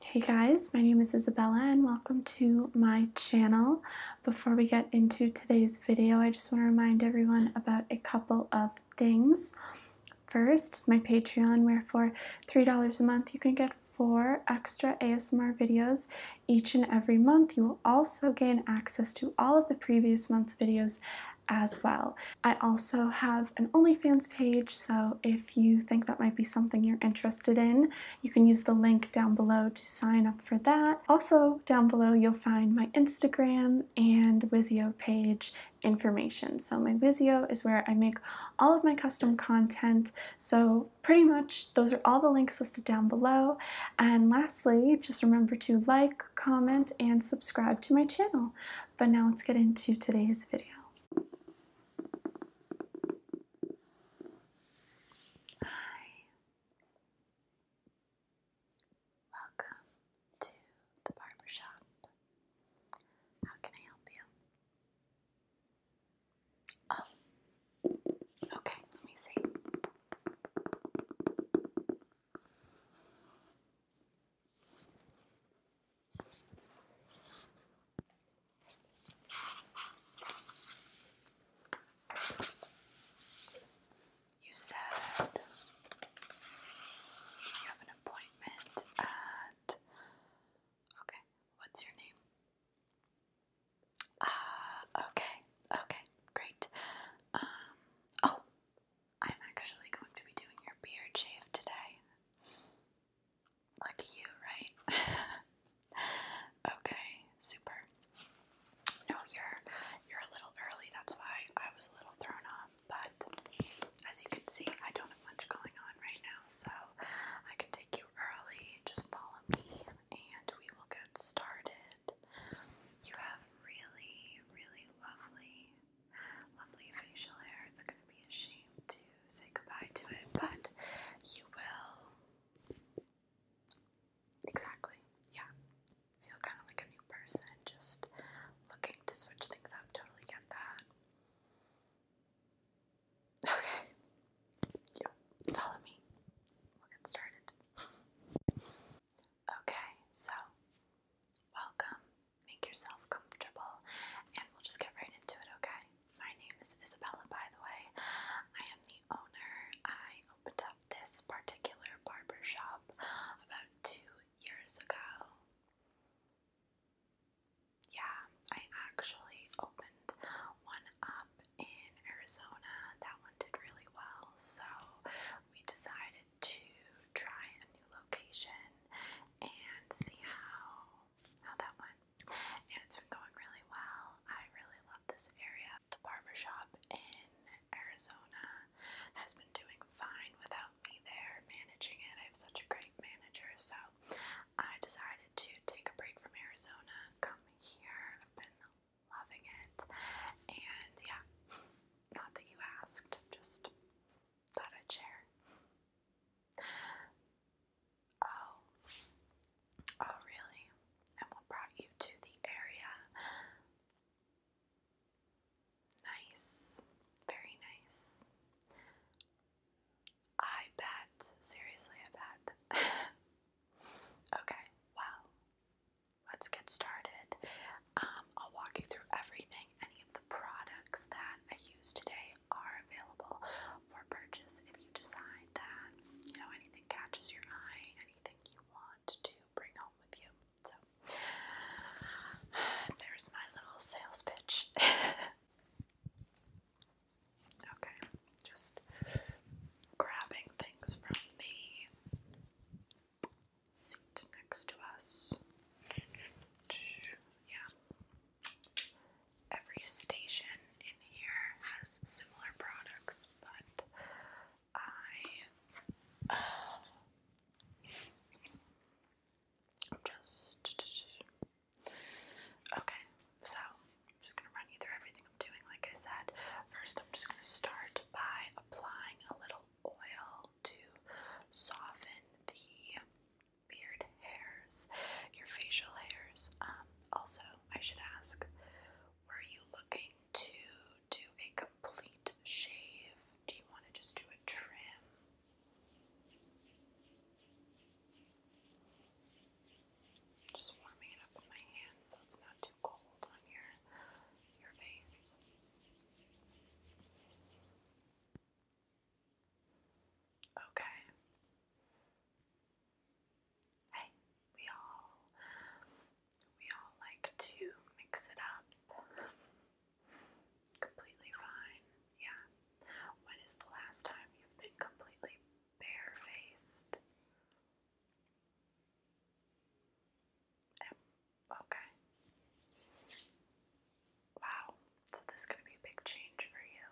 Hey guys, my name is Isabella and welcome to my channel. Before we get into today's video, I just want to remind everyone about a couple of things. First, my Patreon, where for $3 a month you can get four extra ASMR videos each and every month. You will also gain access to all of the previous month's videos as well. I also have an OnlyFans page, so if if you think that might be something you're interested in. You can use the link down below to sign up for that. Also, down below, you'll find my Instagram and Wizio page information. So my Vizio is where I make all of my custom content. So pretty much those are all the links listed down below. And lastly, just remember to like, comment, and subscribe to my channel. But now let's get into today's video. Hi. Welcome to the barber How can I help you? Oh. Okay, let me see. You said you have an appointment at. Okay, what's your name? Ah, okay, okay, great. Um, oh, I'm actually going to be doing your beard shave today. Lucky you, right? okay, super. No, you're you're a little early, that's why I was a little thrown off, but as you can see, I don't have much going on right now, so I can take you early. Just follow me and we will get started. You have really, really lovely, lovely facial hair. It's gonna be a shame to say goodbye to it, but you will. Exactly, yeah. Feel kind of like a new person, just looking to switch things up. Totally get that. Okay. Yeah, follow me. We'll get started. okay, so welcome make yourself comfortable, and we'll just get right into it, okay? My name is Isabella, by the way. I am the owner. I opened up this particular barber shop about two years ago. Yeah, I actually opened one up in Arizona. That one did really well, so we decided to try a new location and see how how that went. And it's been going really well. I really love this area. The barber shop in Arizona has been doing fine without me there managing it. I have such a great manager, so I decided to take a break from Arizona, come here. I've been loving it, and yeah, not that you asked, just thought I'd share. Oh. Oh, really? And what brought you to the area? Nice. Very nice. I bet. Seriously, I bet. okay, well, let's get started. Um, I'll walk you through everything, any of the products that I use today, they are available for purchase if you decide that you know anything catches your eye, anything you want to bring home with you. So there's my little sales pitch. okay, just grabbing things from the seat next to us. Yeah, every station in here has similar products, but I uh, just okay. So am just gonna run you through everything I'm doing. Like I said, first I'm just gonna start by applying a little oil to soften the beard hairs, your facial hairs. Um, also, I should ask, are you looking to do a complete shave? Do you want to just do a trim? Just warming it up with my hand so it's not too cold on your your face. Okay. Hey, we all we all like to mix it up. completely fine. Yeah. When is the last time you've been completely barefaced? okay. Wow, so this is going to be a big change for you.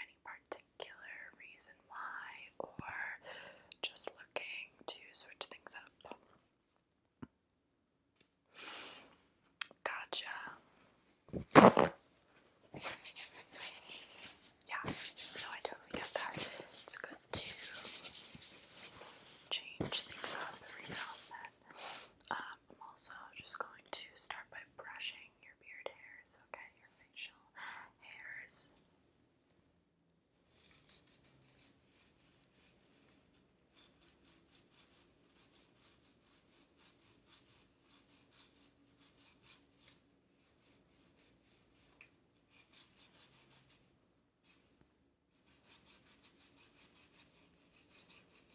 Any particular reason why, or just looking to switch things up? Gotcha. Yeah, no, I totally get that. It's good to change things up every now and then. Um, I'm also just going to start by brushing your beard hairs, okay? Your facial hairs.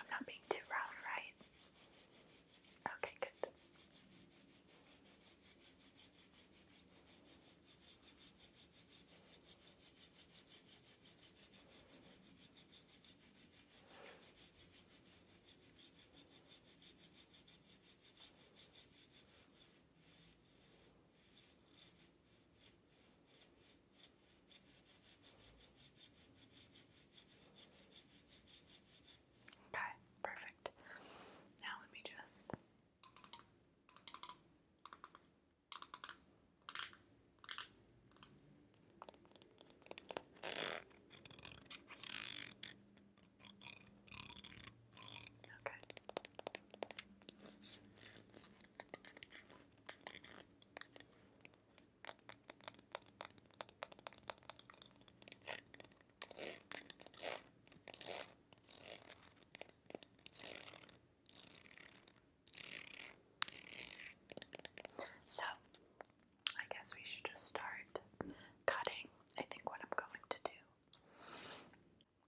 I'm not being too rough, right? Okay, good. Okay, perfect. Now let me just Okay. So, I guess we should just start cutting. I think what I'm going to do, I'm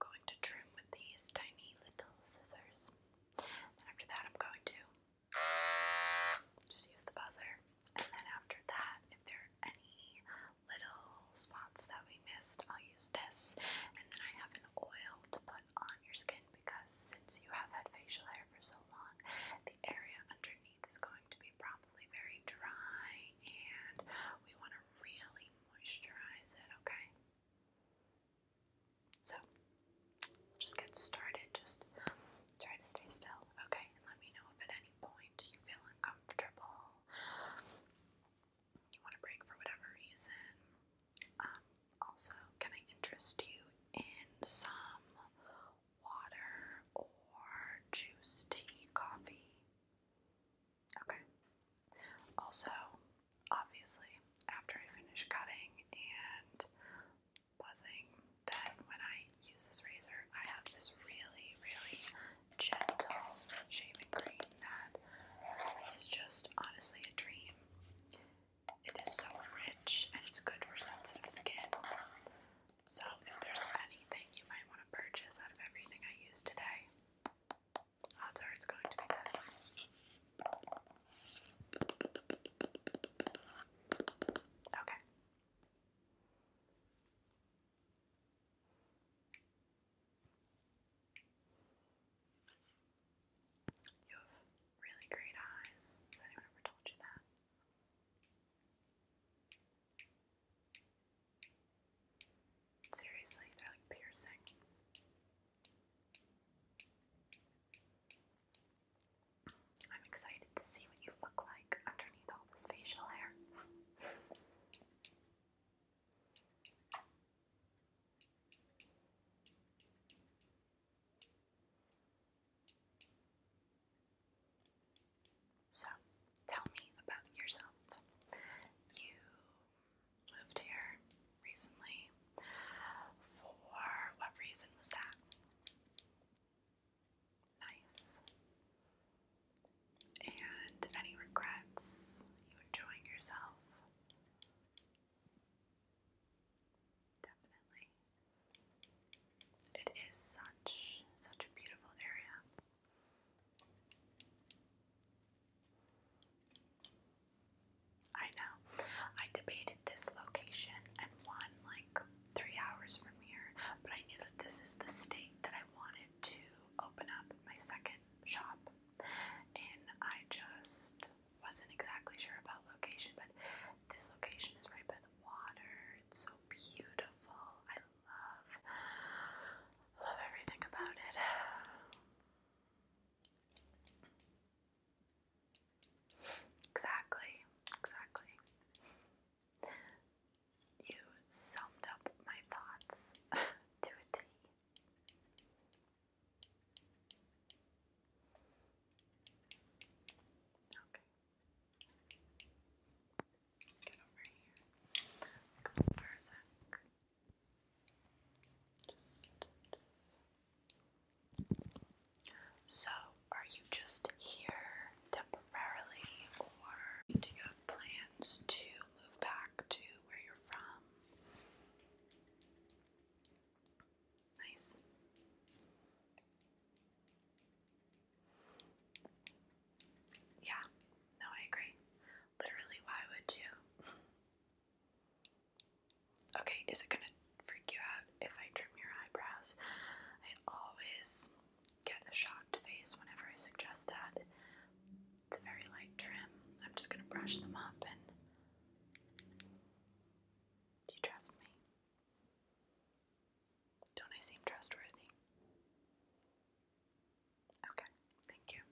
going to trim with these tiny little scissors. after that, I'm going to just use the buzzer. And then after that, if there are any little spots that we missed, I'll use this. And then I have an oil to put on your skin because since you have had facial hair for so long, the area underneath is going to be probably very dry and we want to really moisturize it, okay? So, just get started. Just try to stay still, okay? And let me know if at any point you feel uncomfortable, you want to break for whatever reason. Um, also, can I interest you in some water or juice, tea, coffee? Okay. Also, obviously, after I finish cutting and buzzing that when I use this razor, I have this really, really gentle shaving cream that is just honestly a dream. It is so rich and it's good for sensitive skin. So, if there's anything you might want to purchase out of everything I use today, odds are it's going to be this. Okay. You have really great eyes. Has anyone ever told you that? Seriously, they're like piercing. I'm excited to see what you look like underneath all this facial hair. So, tell me about yourself. You moved here recently. For what reason was that? Nice. And any regrets? You enjoying yourself? Definitely. It is such such a beautiful area. I know. I debated this location and one like three hours from here, but I knew that this is the state that I wanted to open up my second shop, and I just wasn't exactly sure about location, but this location is right by the water. It's so beautiful. I love love everything about it. Exactly, exactly. You summed up my thoughts to a T. Okay. Get over here. Come for a sec. Just so, are you just here temporarily, or do you have plans to move back to where you're from? Nice. Yeah, no, I agree. Literally, why would you? Okay, is it gonna freak you out if I trim your eyebrows? I always get a shocked face whenever I suggest that. It's a very light trim. I'm just gonna brush them up and. Do you trust me? Don't I seem trustworthy? Okay, thank you.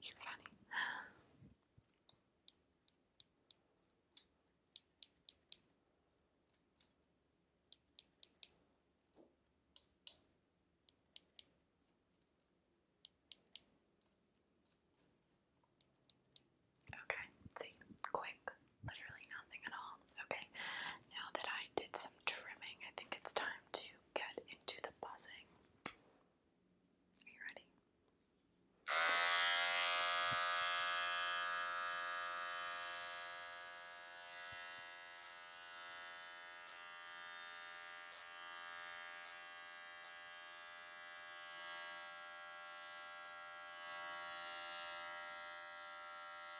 You're funny. Okay, see, quick, literally nothing at all. Okay, now that I did some trimming, I think it's time to get into the buzzing. Are you ready?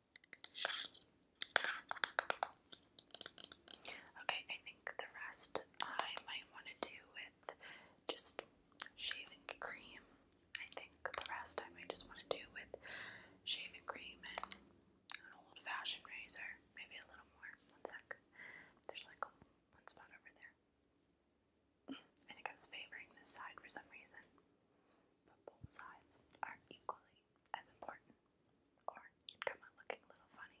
Okay, I think the rest I might want to do with just shaving cream. I think the rest I might just want to do with shaving cream and an old fashioned razor. Maybe a little more. One sec. There's like a, one spot over there. I think I was favoring this side for some reason. But both sides are equally nearly as important, or you come out looking a little funny.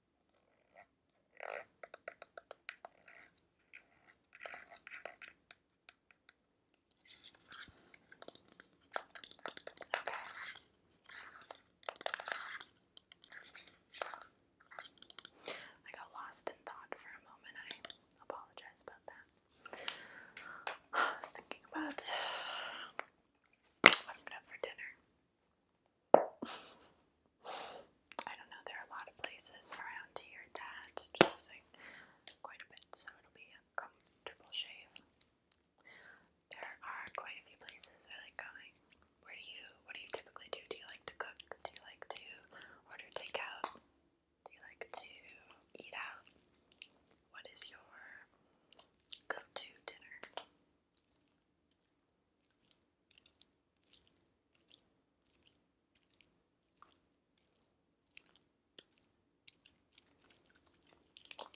I got lost in thought for a moment. I apologize about that. I was thinking about what I'm gonna for dinner. I don't know, there are a lot of places around here that just like quite a bit, so it'll be a comfortable shave. There are quite a few places I like going. Where do you, what do you typically do? Do you like to cook? Do you like to order takeout? Do you like to eat out? What is your go to dinner?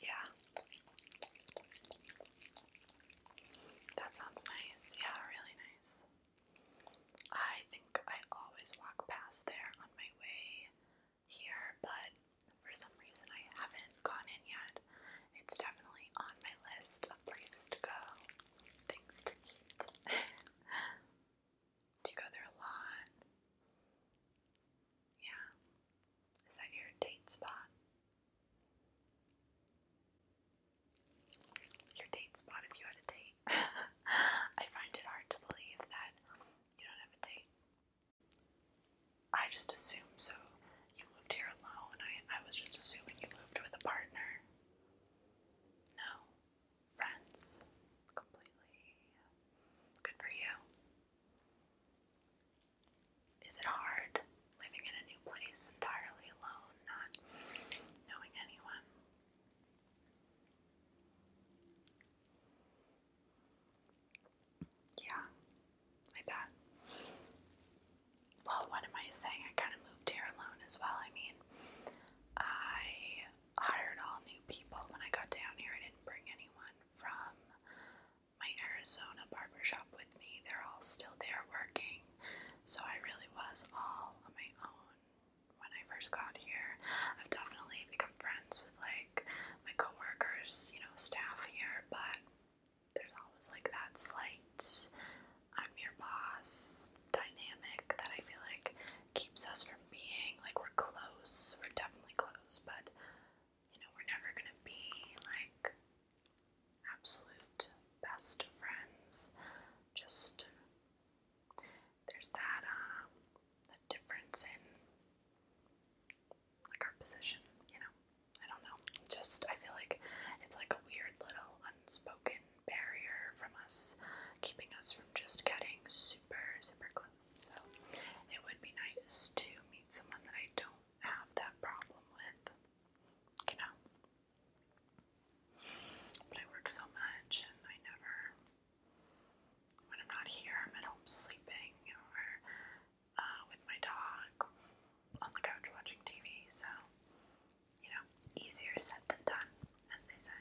Yeah. That sounds nice. Yeah, really nice. I think I always walk past there on my way here, but for some reason I haven't gone in yet. It's definitely on my list of places to go, things to eat. Do you go there a lot? Yeah. Is that your date spot? Your date spot if you had a date. I find it hard to believe that you don't have a date. I just assumed so. You moved here alone. I, I was just assuming you moved with a partner. No. Friends. Completely. Good for you. Is it hard living in a new place entirely alone, not knowing anyone? Yeah, like that. Well, what am I saying? I kind of moved here alone as well. I mean, I hired all new people when I got down here. I didn't bring anyone from my Arizona barbershop with me. They're all still there working. So I really was all on my own when I first got here. I've definitely become friends with like my coworkers, you know, staff here, but there's always like that slight I'm your boss dynamic that I feel like keeps us from being like we're close, we're definitely close, but you know, we're never gonna be like absolute best friends. Just there's that um difference in like our position, you know. I don't know. Just I feel like it's like a weird little unspoken barrier from us keeping us from just getting super, super close. So it would be nice to meet someone that I don't have that problem with. You know. But I work so much and I never when I'm not here I'm sleeping or uh, with my dog on the couch watching TV, so, you know, easier said than done, as they say.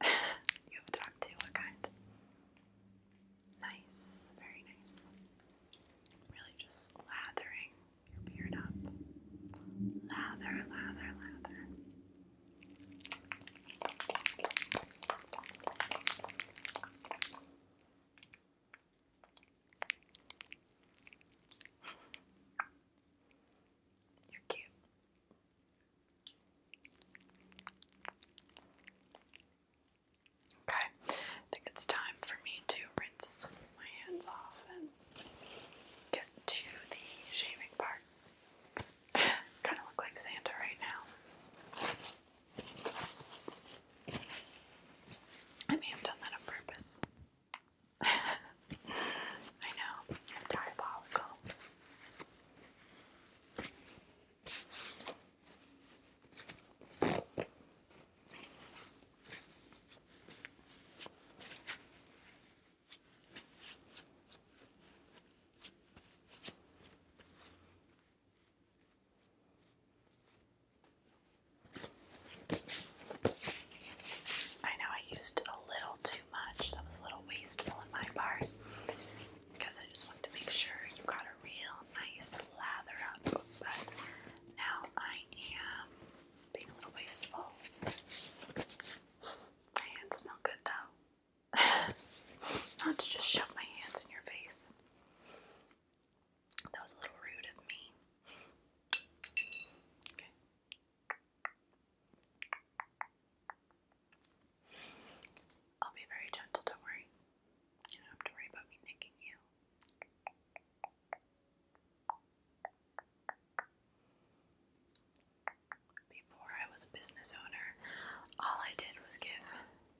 you have a dog too, what kind? Nice, very nice. Really just lathering your beard up. Lather, lather, lather. You're cute. Okay, I think it's time for me to rinse my hands off and get to the shaving part kind of look like Santa right now. I may have done that on purpose. I know, I'm diabolical. I know I used a little too much. That was a little wasteful in my part because I just wanted to make sure you got a real nice lather up. But now I am being a little wasteful. My hands smell good though. Not to just shove my hands in your face. That was a little rude of me. Okay. I'll be very gentle, don't worry. You don't have to worry about me nicking you. Before I was a business owner, all I did was give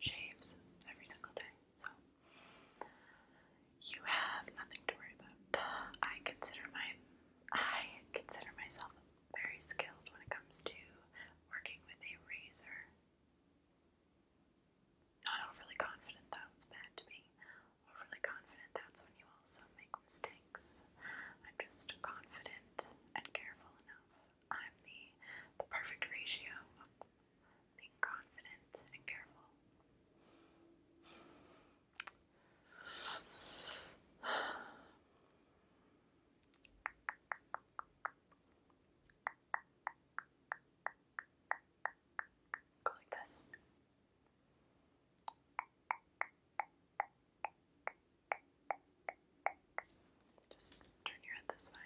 shaves every single day. So you have nothing to worry about. I consider my I consider myself very skilled when it comes to working with a razor. Not overly confident though, it's bad to be overly confident, that's when you also make mistakes. I'm just confident and careful enough. I'm the the perfect ratio of being confident and careful. Go like this. Just turn your head this way.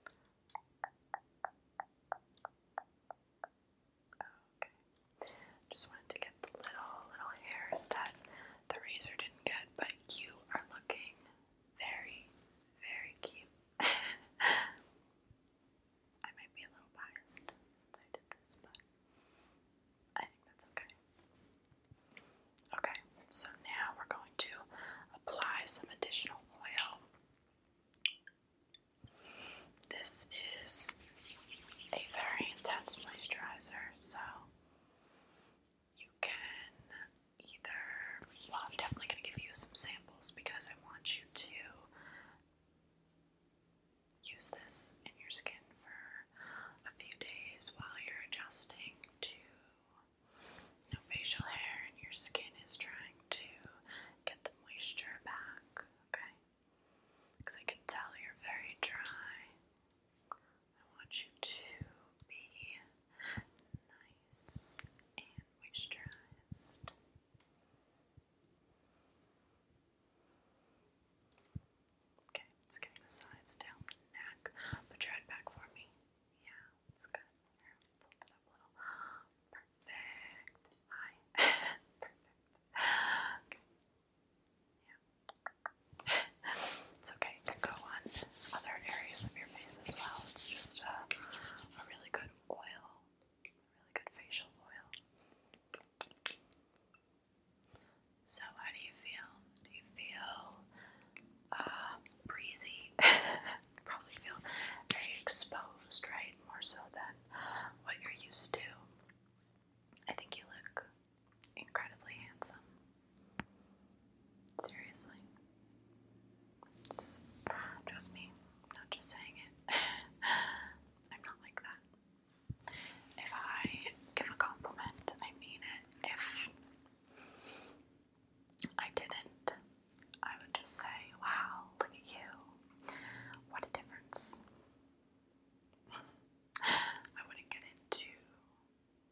Okay. Just wanted to get the little little hairs that the razor didn't get, but you are looking very, very cute. I might be a little biased since I did this, but I think that's okay. Okay, so now we're going to apply some additional oil. This is a very intense moisturizer, so you can either. Well, I'm definitely going to give you some samples because I want you to use this in your skin for a few days while you're adjusting to facial hair and your skin is trying to get the moisture back, okay? Because I can tell you're very dry. I want you to be nice and moisturized. Okay, let's get the sides down neck, but your head back for me. Yeah, it's good. Here, tilt up a little. Perfect. Hi. Perfect. Okay. Yeah. it's okay. can go on other areas of your face as well. It's just a, uh, a really good oil, really good facial oil. So, how do you feel? Do you feel uh, breezy? Probably feel very exposed, right? More so than what you're used to. I think you look incredibly handsome. Seriously trust me, i not just saying it. I'm not like that. If I give a compliment, I mean it. If I didn't, I would just say, wow, look at you. What a difference. I wouldn't get into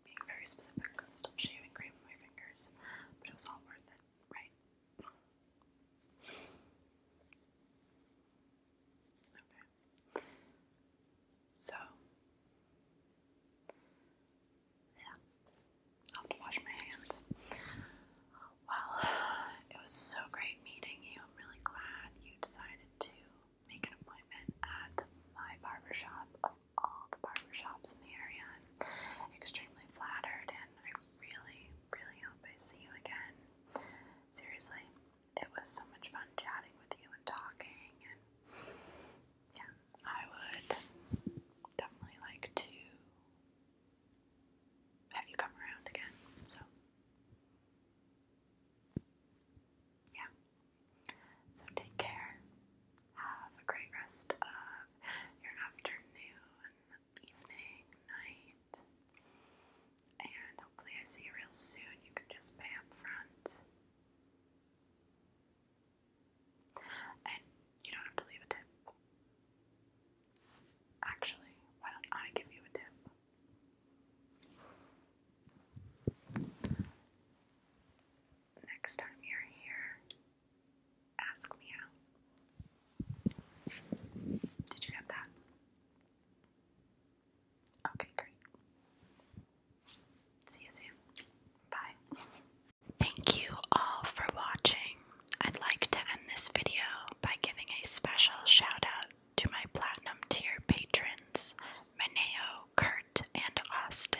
being very specific and shaving cream on my fingers, but it was all worth it right? Okay. So, yeah, i have to wash my hands. Well, it was so great meeting you. I'm really glad you decided to make an appointment at my barbershop of all the barbershops in the area. extremely flattered and I really, really hope I see you again. Seriously, it was so much fun chatting with you and talking and yeah, I would definitely like to have you come around again. So yeah. So take care have a great rest of your afternoon, evening, night, and hopefully, I see you real soon. You can just pay up front. And you don't have to leave a tip. Actually, why don't I give you a tip? Next time you're here, Ask me out. Did you get that? Okay, great. See you soon. Bye. Thank you all for watching. I'd like to end this video by giving a special shout out to my platinum tier patrons, Maneo, Kurt, and Austin.